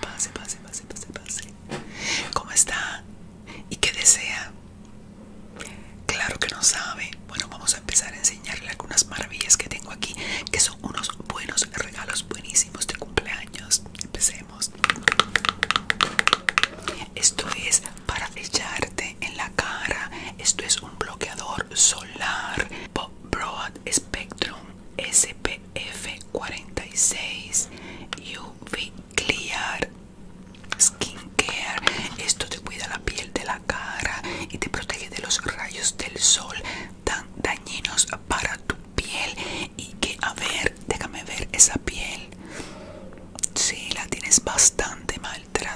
Pase, pase, pase, pase, pase. ¿Cómo está? ¿Y qué desea? Claro que no sabe. Bueno, vamos a empezar a enseñarle algunas maravillas que tengo aquí, que son unos buenos regalos buenísimos de cumpleaños. Empecemos. Esto es para echarte en la cara. Esto es un bloqueador solar Broad Spectrum SPF 46 UV Clear skin care Esto te cuida la piel de la cara y te protege de los rayos del sol tan dañinos para tu piel. Y que, a ver, déjame ver esa piel. si la tienes bastante maltratada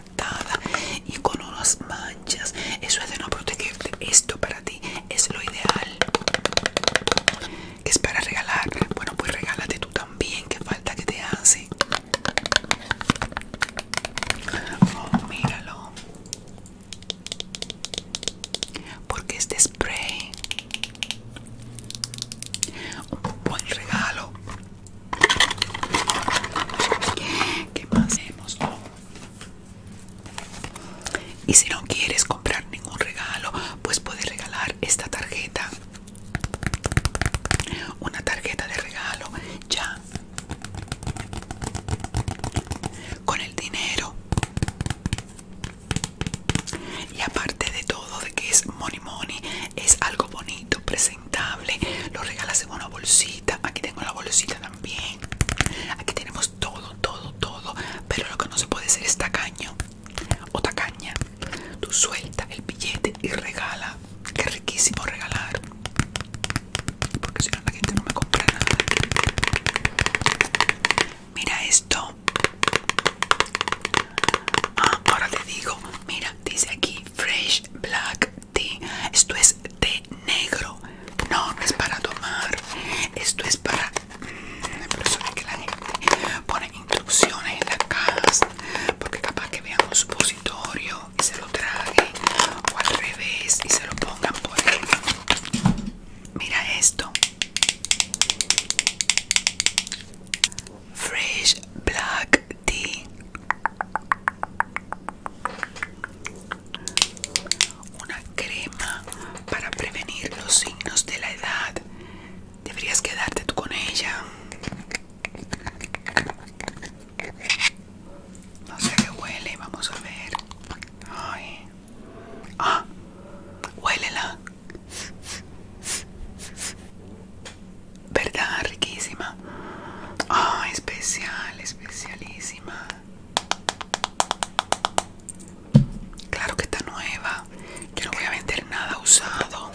y con unas manchas. Eso es de no protegerte. Esto para ti es lo ideal. Que es para regalar. Bueno, pues regálate tú también. Que falta que te hace. Oh, míralo. Porque este spray. Un buen regalo ¿Qué más oh. Y si no quieres comprar ningún regalo, pues puedes regalar esta tarjeta. Una tarjeta de regalo ya. Con el dinero. Y aparte de todo de que es money money es algo bonito presentable lo regalas en una bolsita aquí tengo la bolsita también aquí tenemos todo todo todo pero lo que no se puede hacer es tacaño o tacaña tú suelta el billete y regala qué riquísimo regalar porque si no la gente no me compra nada mira esto Ah, ahora te digo, mira, dice aquí Fresh Black Tea. Esto es té negro. No, es para tomar. Esto es para... Mmm, que la gente pone instrucciones en las cajas. Porque capaz que vean un supositorio y se lo trague O al revés y se lo pongan por ahí. Mira esto. Fresh black tea. Una crema para prevenir los signos de la edad. Deberías quedarte tú con ella. No sé qué huele, vamos a ver. Ah, huélela. ¿Verdad? Riquísima. Ah, especial, especialísima. Claro que está nueva. Yo no voy a vender nada usado.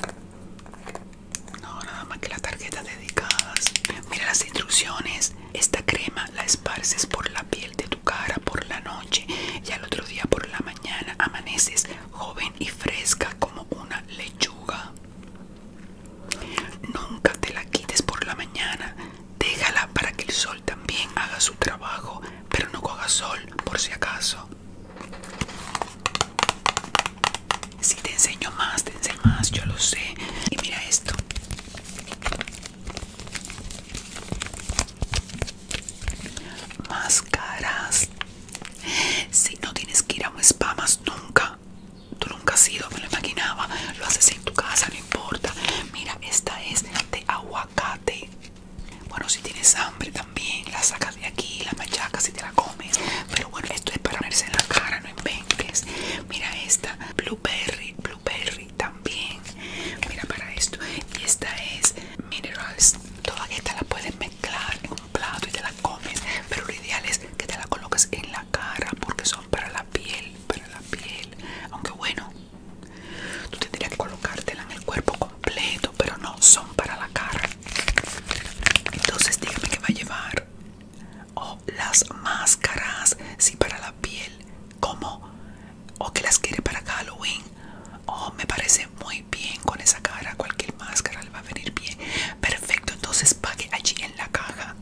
No, nada más que las tarjetas dedicadas. Mira las instrucciones. Esta crema la esparces por la piel de tu cara por la noche y al otro día por la mañana amaneces joven y fresca como una lechuga. Nunca te la quites por la mañana, déjala para que el sol también haga su trabajo, pero no coja sol por si acaso. Si te enseño más, te enseño más, yo lo sé. Y mira esto más si no tienes que ir a un spa más nunca tú nunca has ido me lo imaginaba lo haces en tu casa no importa mira esta es de aguacate bueno si tienes hambre también la sacas de aquí la machacas y te la comes pero bueno esto es para ponerse en la cara no inventes mira esta blueberry perry también mira para esto y esta es minerals toda esta la puedes mezclar en un plato y te la comes pero lo ideal es que te la coloques en la cara porque son para la piel para la piel aunque bueno tú tendrías que colocártela en el cuerpo completo pero no son para la cara entonces dígame que va a llevar o las máscaras, si sí, para la piel, como o que las quiere para Halloween. Oh, me parece muy bien con esa cara, cualquier máscara le va a venir bien. Perfecto, entonces pague allí en la caja.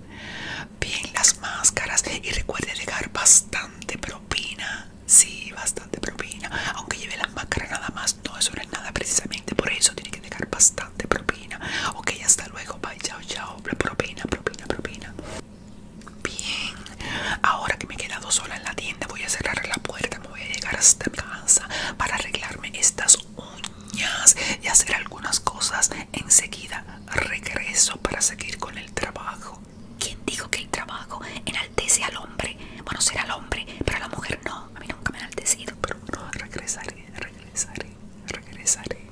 Bien, las máscaras y recuerde dejar bastante propina. Sí, bastante propina. Aunque lleve la máscara nada más, no, es sobre nada precisamente. Por eso tiene que dejar bastante de propina. Ok, hasta luego. Bye, chao, chao. Propina, propina, propina. Bien. Ahora que me he quedado sola en la tienda, voy a cerrar la puerta. Me voy a llegar hasta casa para arreglarme estas uñas y hacer algunas cosas. Enseguida regreso para seguir con el trabajo. ¿Quién dijo que el trabajo enaltece al hombre? Bueno, será al hombre, pero a la mujer no. A mí nunca me ha enaltecido, pero bueno, regresaré, regresaré regresaré, regresaré.